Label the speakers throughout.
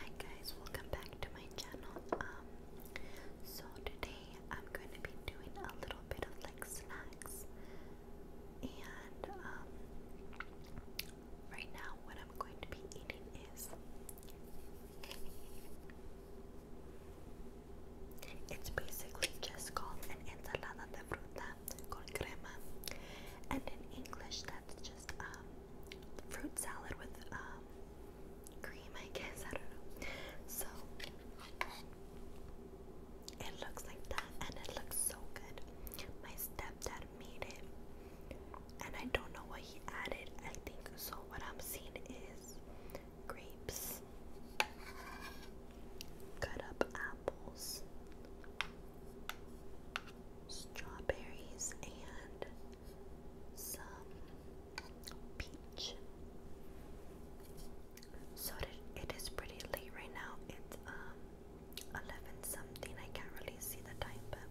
Speaker 1: Hi guys, welcome back to my channel. Um, so today I'm going to be doing a little bit of like snacks, and um, right now what I'm going to be eating is it's basically just called an ensalada de fruta con crema, and in English that's just um, fruit salad with um, cream, I guess. I don't know. So it looks like that, and it looks so good. My stepdad made it, and I don't know what he added. I think so. What I'm seeing is grapes, cut up apples, strawberries and some peach. So it, it is pretty late right now. It's um 11 something. I can't really see the time, but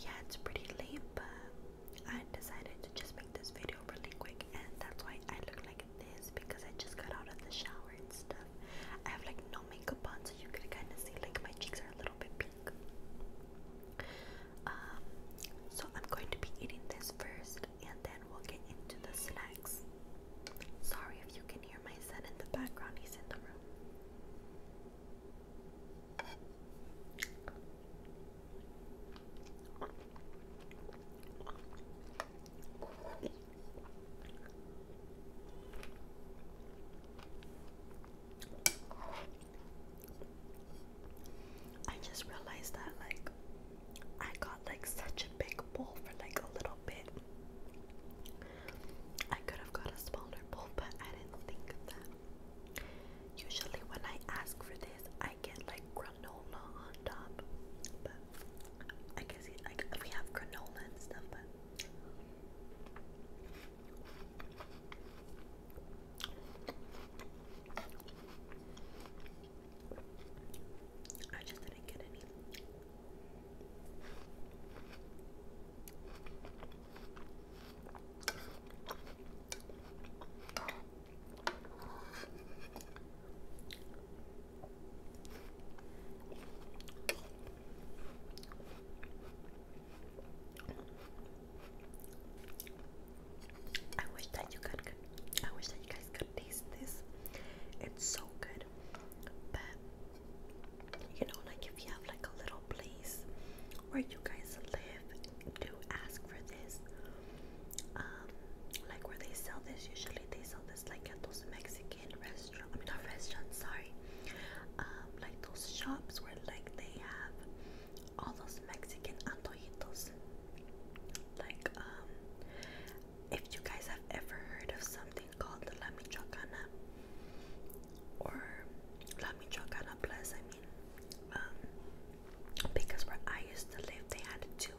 Speaker 1: yeah, it's pretty late. But I decided to just make this video really quick, and that's why I look like this because I just got out of the shower and stuff. I have like no makeup on you can kind of see like my cheeks are a little bit pink. Um, so I'm going to be eating this first, and then we'll get into the snacks. Sorry if you can hear my son in the background; he's in the room. I just realized that like I got like such a big bowl for like a little bit. I could have got a smaller bowl, but I didn't think that. Usually when I ask for this, I get like granola on top. I guess like we have granola and stuff, but I just didn't get any. I wish that you could, could I wish that you guys could taste this. It's so good. But you know, like if you have like a little place where you guys live, do ask for this. Um, like where they sell this, usually they sell this like at those Mexican restaurant. I mean, not restaurant. Sorry. Um, like those shops where like they have all those Mexican antojitos. Like um, if you guys have ever heard of something called La Michoacana or La Michoacana Plus, I mean, um, because where I used to live, they had two.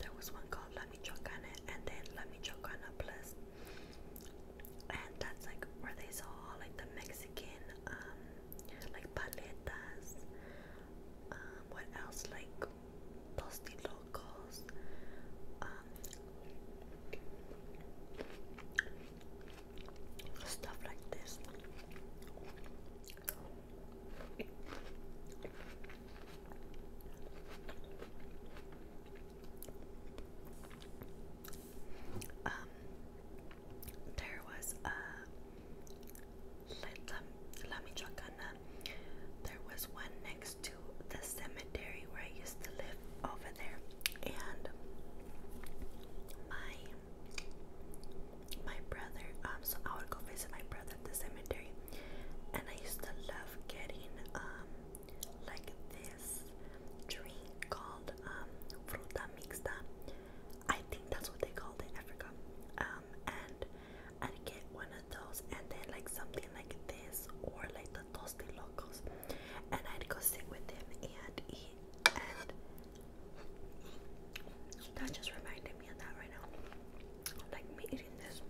Speaker 1: There was one called La Michoacana and then La Michoacana Plus and that's like where they saw like the Mexican um like paletas um what else like tostilocos um stuff like this um, there was a La um, Michoacana. There was one next to the cemetery where I used to live over there, and my my brother. Um, so I would go visit my brother at the cemetery, and I used to love getting um like this drink called um, fruta mixta. I think that's what they call it, in Africa. Um, and I'd get one of those, and then like something like this, or like the tosti locos, and I'd go sit with them and eat. And that just reminded me of that right now. Like me eating this.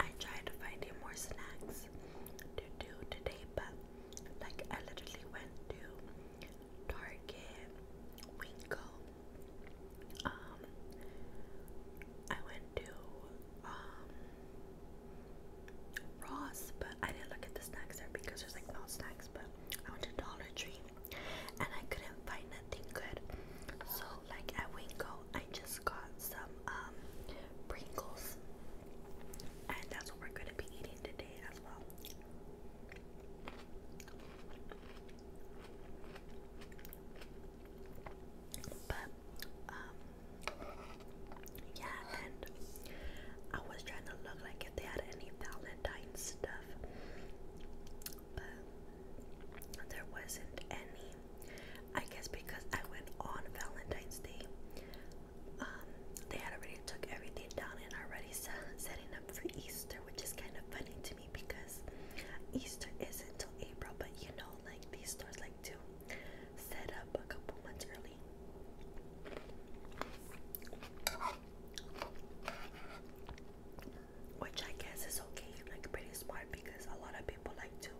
Speaker 1: I tried to you more snacks to do today, but like I literally went to Target, Winko. Um, I went to um Ross, but I didn't look at the snacks there because there's like no snacks. But I went to Dollar Tree, and I couldn't find nothing good. So like at Winko, I just got some um, Pringles, and that's what we're going to be eating today as well. But um, yeah, and I was trying to look like if they had any Valentine stuff, but there wasn't any. I guess because I went on Valentine's Day, um, they had already took everything down and already setting up for Easter, which is kind of funny to me because Easter isn't till April, but you know, like these stores like to set up a couple months early. Which I guess is okay, like pretty smart because a lot of people like to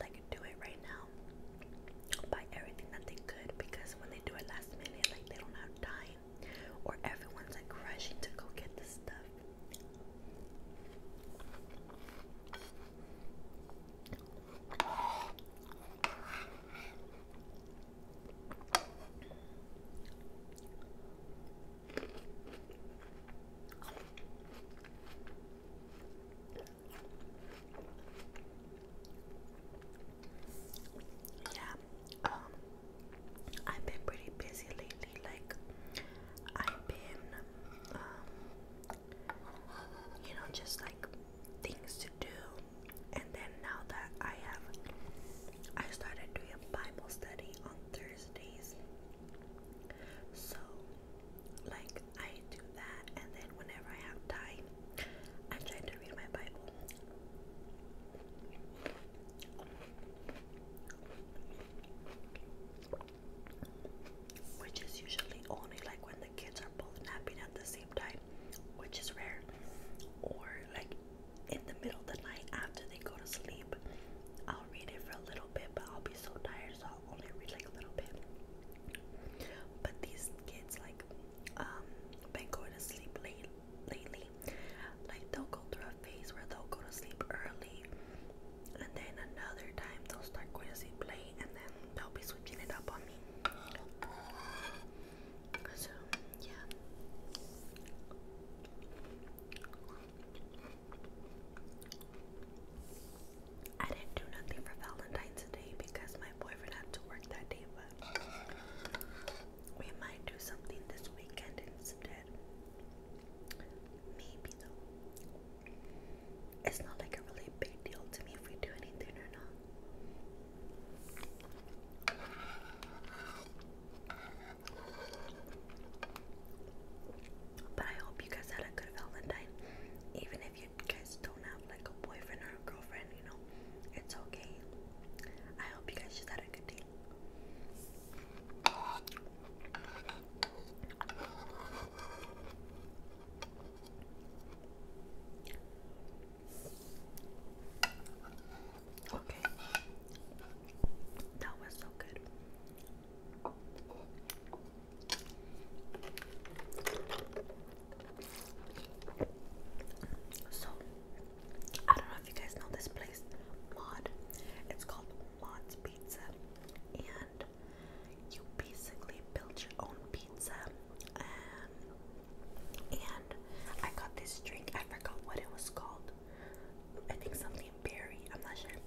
Speaker 1: like do it right now um, buy everything that they could because when they do it last minute, like they don't have time, or everyone's like rushing to go get the stuff. Yeah, um, I've been pretty busy lately. Like, I've been, um, you know, just like things to do. And then now that I have, I started doing a Bible study on Thursdays. So like I do that, and then whenever I have time, I try to read my Bible. Which is usually only like when the kids are both napping at the same time, which is rare, or like in the middle of the night after they go to sleep. I'll read it for a little bit, but I'll be so tired, so I'll only read like a little bit. But these kids like um been going to sleep late lately like they'll go through a phase where they'll go to sleep early and then another time they'll start going to sleep late and then they'll be switching it up on me so yeah I didn't do nothing for Valentine's Day because my boyfriend had to work that day, but we might do something this weekend instead. Maybe though. It's not like a really big deal to me if we do anything or not. But I hope you guys had a good Valentine, even if you guys don't have like a boyfriend or a girlfriend, you know, it's okay. I hope you guys just had a good day. Okay, that was so good. So, I don't know if you guys know this place, Mod. It's called Mod's Pizza, and you basically build your own pizza. Um, and I got this drink. I forgot what it was called. I think something berry. I'm not sure.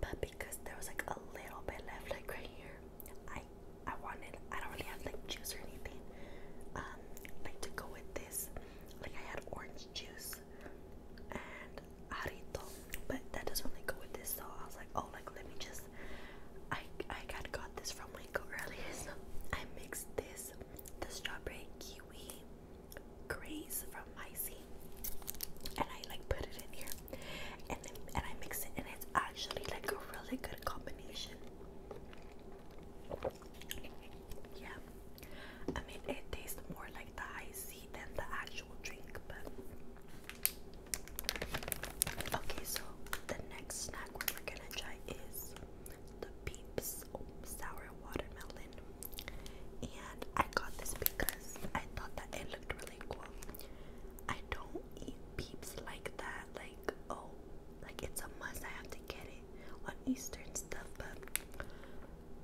Speaker 1: But because there was like a little bit left, like right here, I I wanted. I don't really have like juice or anything. Um, like to go with this. Like I had orange juice and arito, but that doesn't really go with this. So I was like, oh, like let me just. I I got got this from Michael earlier, so I mixed this, the strawberry kiwi graze from Micey, and I like put it in here and then, and I mix it, and it's actually like a really good combination. Yeah, I mean it tastes more like the high than the actual drink, but okay. So the next snack we're gonna try is the Peeps Sour Watermelon, and I got this because I thought that it looked really cool. I I don't eat peeps like that. Like, oh, like it's a must. I have to get it on Eastern stuff. But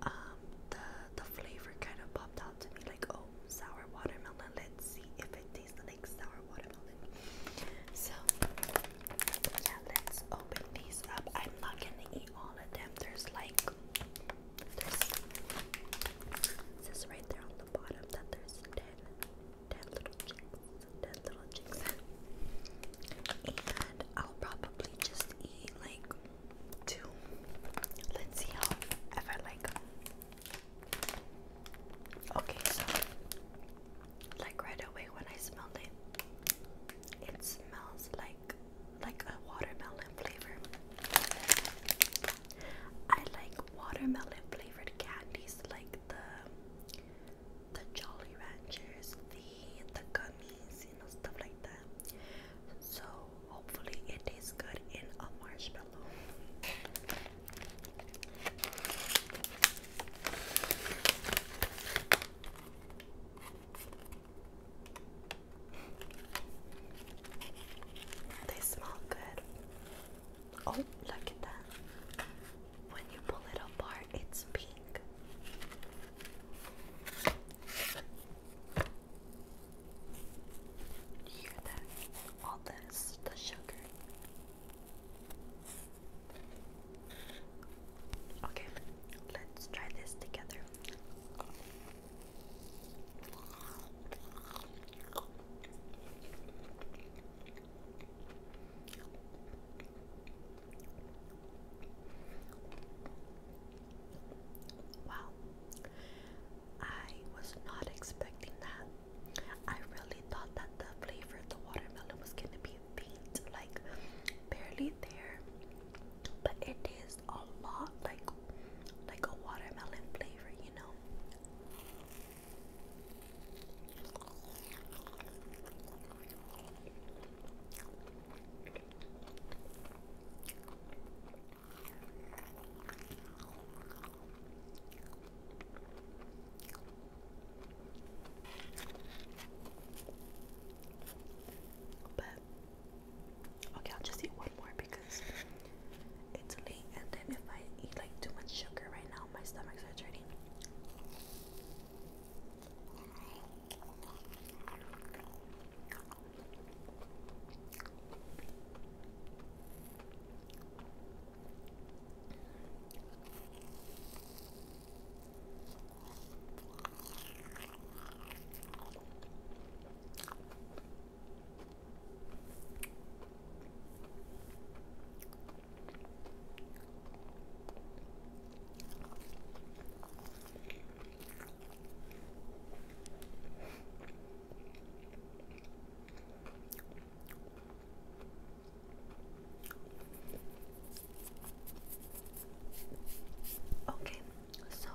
Speaker 1: um, the the flavor kind of popped out to me. Like, oh, sour watermelon. Let's see if it tastes like sour watermelon. So yeah, let's open these up. I'm not gonna eat all of them. There's like there's this right there on the bottom that there's ten dead little chicks, dead little chicks. and I'll probably just eat like two. Let's see how if I like Okay, so like right away when I smelled it, it smells like like a watermelon flavor. I like watermelon flavored candies like the the Jolly Ranchers, the the gummies, you know, stuff like that. So hopefully it good in a marshmallow. They smell good. Oh, look at that. When you pull it apart, it's pink. hear that? All this, the sugar. Okay, let's try this together. Wow. I was not expecting that. I really thought that the flavor of the watermelon was going to be faint, like barely there. But it is a lot like like a watermelon flavor, you know. But okay, I'll just eat one more because it's late, and then if I eat like too much sugar right now, my stomach's hurting. Okay, so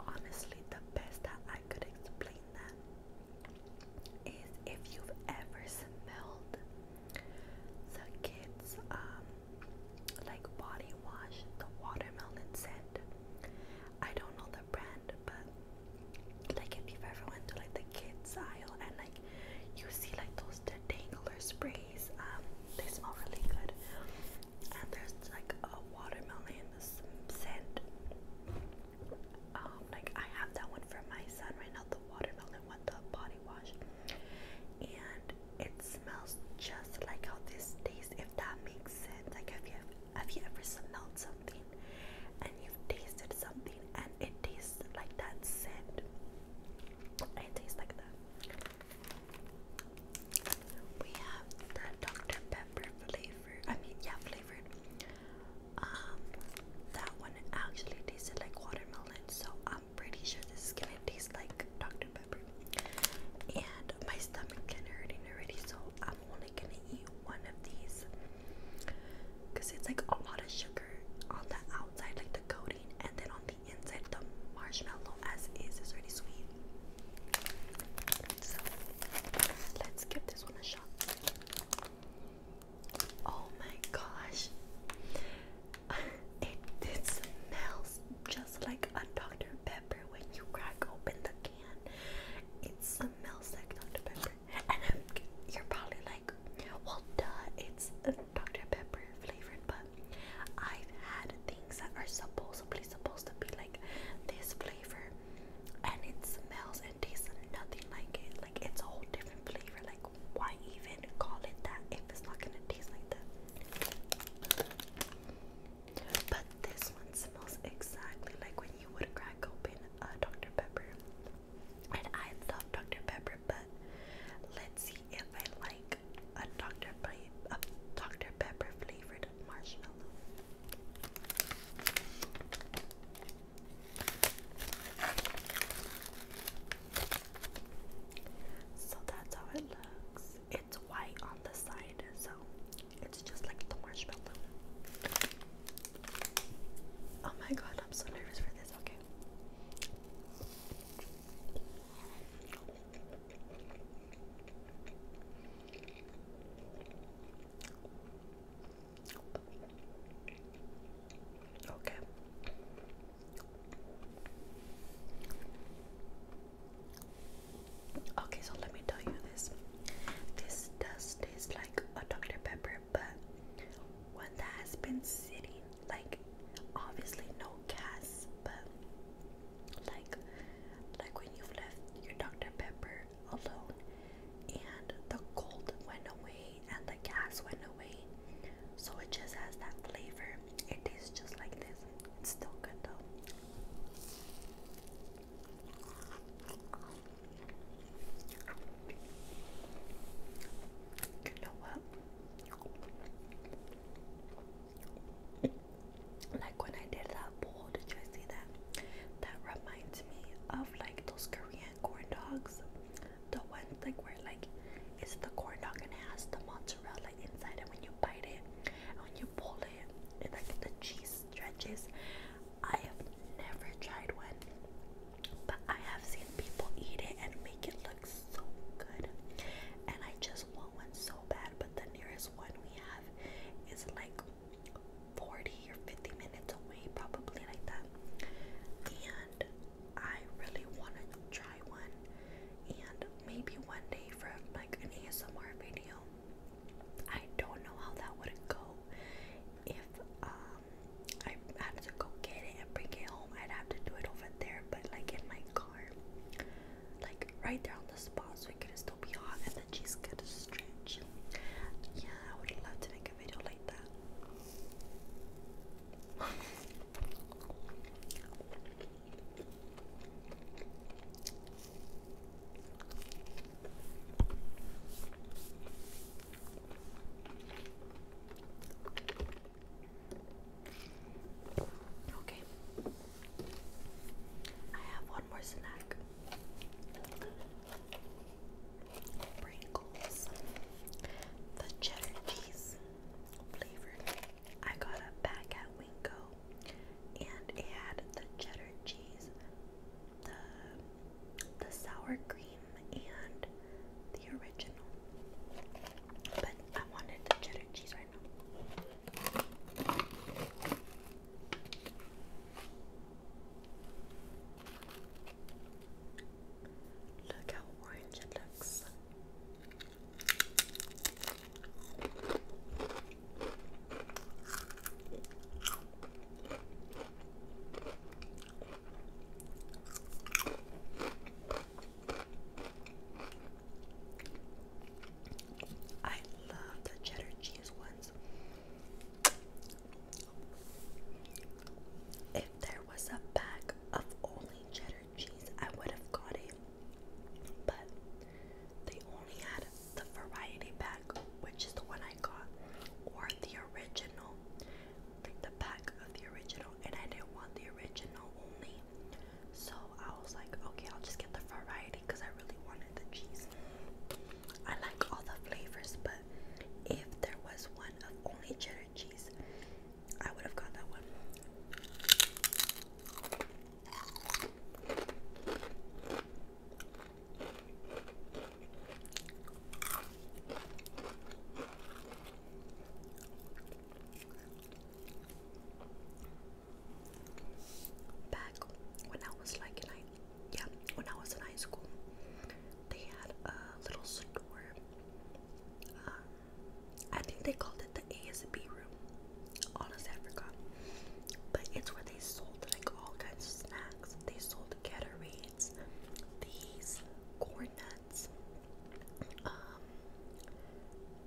Speaker 1: honestly, the best that I could explain that is if you've ever smelled the kids um like body wash, the watermelon scent. I don't know the brand, but like if you've ever went to like the kids aisle and like you see like those detangler sprays, um, they smell really good. And there's like a watermelon scent um, like I have that one for my son right now, the watermelon one, the body wash. And it smells just like how this tastes, if that makes sense. Like have you have you ever smelled something and you've tasted something and it tastes like that scent? It tastes like that. We have the Dr. Pepper flavor flavored. I mean, yeah, flavored. Um, that one actually tasted like watermelon, so I'm pretty sure this is gonna taste like Dr. Pepper. And my stomach can hurting already, so I'm only gonna eat one of these because it's like a lot of sugar on the outside, like the coating, and then on the inside, the marshmallow as is is really sweet. Let's give this one a shot. Oh my gosh. It, smells just like a Dr. Pepper when you crack open the can. It smells like Dr. Pepper. And I'm, you're probably like, well, duh, it's Dr. Pepper flavored, but I've had things that are supposedly supposed to be like this flavor and it smells and tastes nothing like it. Like it's a whole different flavor. Like why even call it that if it's not gonna taste like that? But this one smells exactly like when you would crack open a Dr. Pepper. And I love Dr. Pepper, but let's see if I like a Dr. Pe a Dr. Pepper flavored marshmallow. So that's how it looks. It's white on the side, so it's just like the marshmallow. Oh my god, I'm so nervous for this. Okay. Okay. Okay, so let me tell you this. This does taste like a Dr. Pepper, but one that has been sitting, like obviously no gas, but like like when you've left your Dr. Pepper alone, and the cold went away and the gas went away, so it just has that flavor. It tastes just like this. It's still good though. You know what? Like when I did that bowl, did you see that? That reminds reminds me of like those Korean corn dogs. The ones like where like it's the corn dog and it has the mozzarella inside and when you bite it and when you pull it and like the cheese stretches. I have never tried one but I have seen people eat it and make it look so good and I just want one so bad but the nearest one we have is like 40 or 50 minutes away, probably like that. And I really want to try one, and maybe one day for like an ASMR video. I don't know how that would go. If um, I had to go get it and bring it home, I'd have to do it over there, but like in my car, like right there on the spot, so it could still be hot she's gonna stretch. Yeah, I would love to make a video like that. Okay, I have one more snack. Pringles, the cheddar cheese flavored. I got a pack at Winko and it had the cheddar cheese, the, the sour cream, and the original. But I wanted the cheddar cheese right now. Look how orange it looks. I love the cheddar cheese ones. If there was a bag of only cheddar cheese, I would have got it. But they only had the variety pack, which is the one I got, or the original, like the pack of the original, and I didn't want the original only. So I was like, okay, I'll just get the variety because I really want the cheese. I like all the flavors, but if there was one of only cheddar cheese, I would have got that one. Back when I was like yeah, when I was in high school, they had a little store. Um, I think they called it the ASB room. Honestly, I forgot. But it's where they sold like all kinds of snacks. They sold Gatorades, these corn nuts. Um,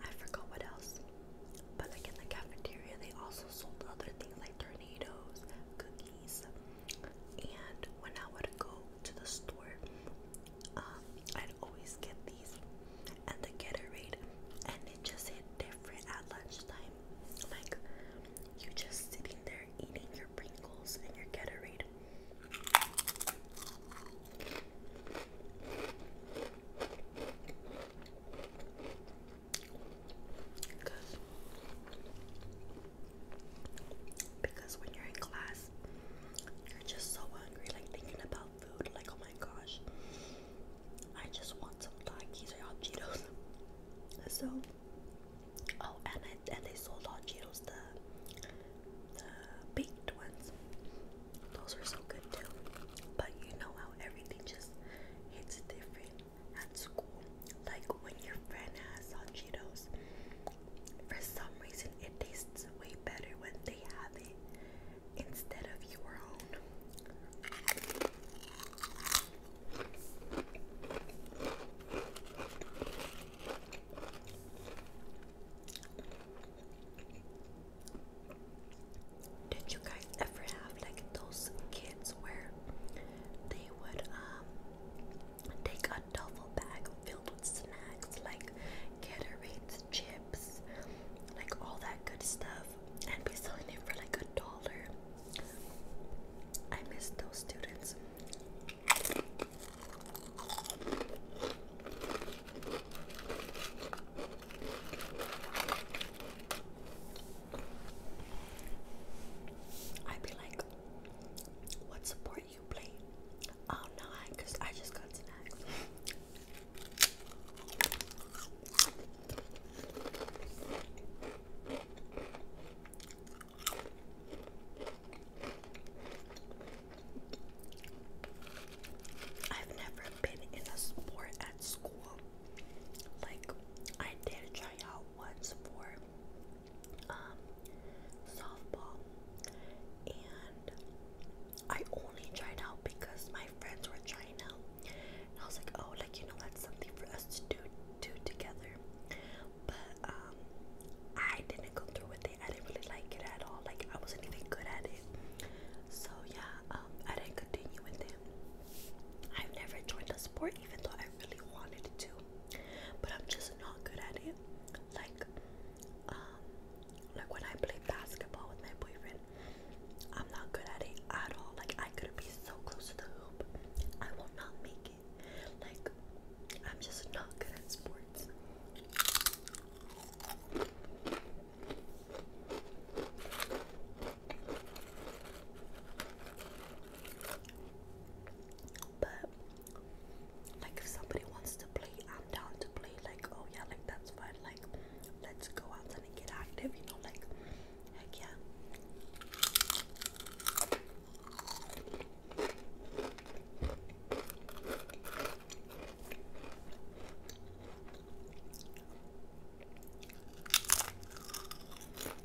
Speaker 1: I forgot what else. But like in the cafeteria, they also sold other things like their tornadoes, cookies, and when I would go to the store, um, I'd always get these and the Gatorade, and it just hit different at lunchtime. Like you just sitting there eating your Pringles and your Gatorade. Because, because when you're in class, you're just so hungry, like thinking about food, like oh my gosh, I just want some Takis or hot Cheetos. So, oh, and and they sold hot Cheetos the the baked ones. Those were so good too. But you know how everything just hits different at school. Like when your friend has hot for some reason it tastes way better when they have it instead of your own. Did you guys ever have like those kids where they would um take a duffel bag filled with snacks like Gatorades, chips, like all that good stuff, and be selling it for like a dollar? I miss those students. I'd be like, what sport you play? Oh no, I cause I just got snacks. I've never been in a sport at school. Like I did try out once for um, softball and I only tried out because my friends were trying out. I was like, oh like you know that's something for us to do do together. But um I didn't go through with it. I didn't really like it at all. Like I wasn't even good at it. So yeah, um I didn't continue with it. I've never joined a sport even though I really wanted to. But I'm just not good at it. Like, um, like when I play basketball with my boyfriend, I'm not good at it at all. Like I could be so close to the hoop, I will not make it. Like I'm just not good at sports. But like if somebody wants to play, I'm down to play. Like oh yeah, like that's fine. Like let's go out and get active. You know, like heck yeah.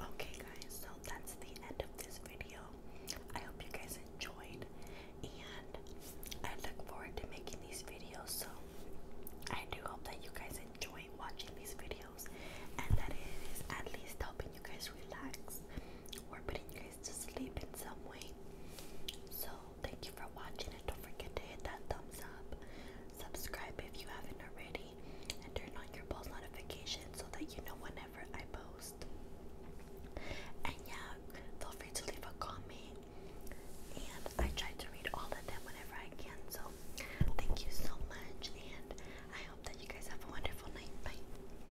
Speaker 1: Okay, guys, so that's the end of this video. I hope you guys enjoyed, and I look forward to making these videos. So, I do hope that you guys enjoy watching these videos and that it is at least helping you guys relax or putting to sleep in some way. So, thank you for watching and don't forget to hit that thumbs up. Subscribe if you haven't already and turn on your post notifications so that you know whenever I post. And yeah, feel free to leave a comment. And I try to read all of them whenever I can. So, thank you so much and I hope that you guys have a wonderful night. Bye.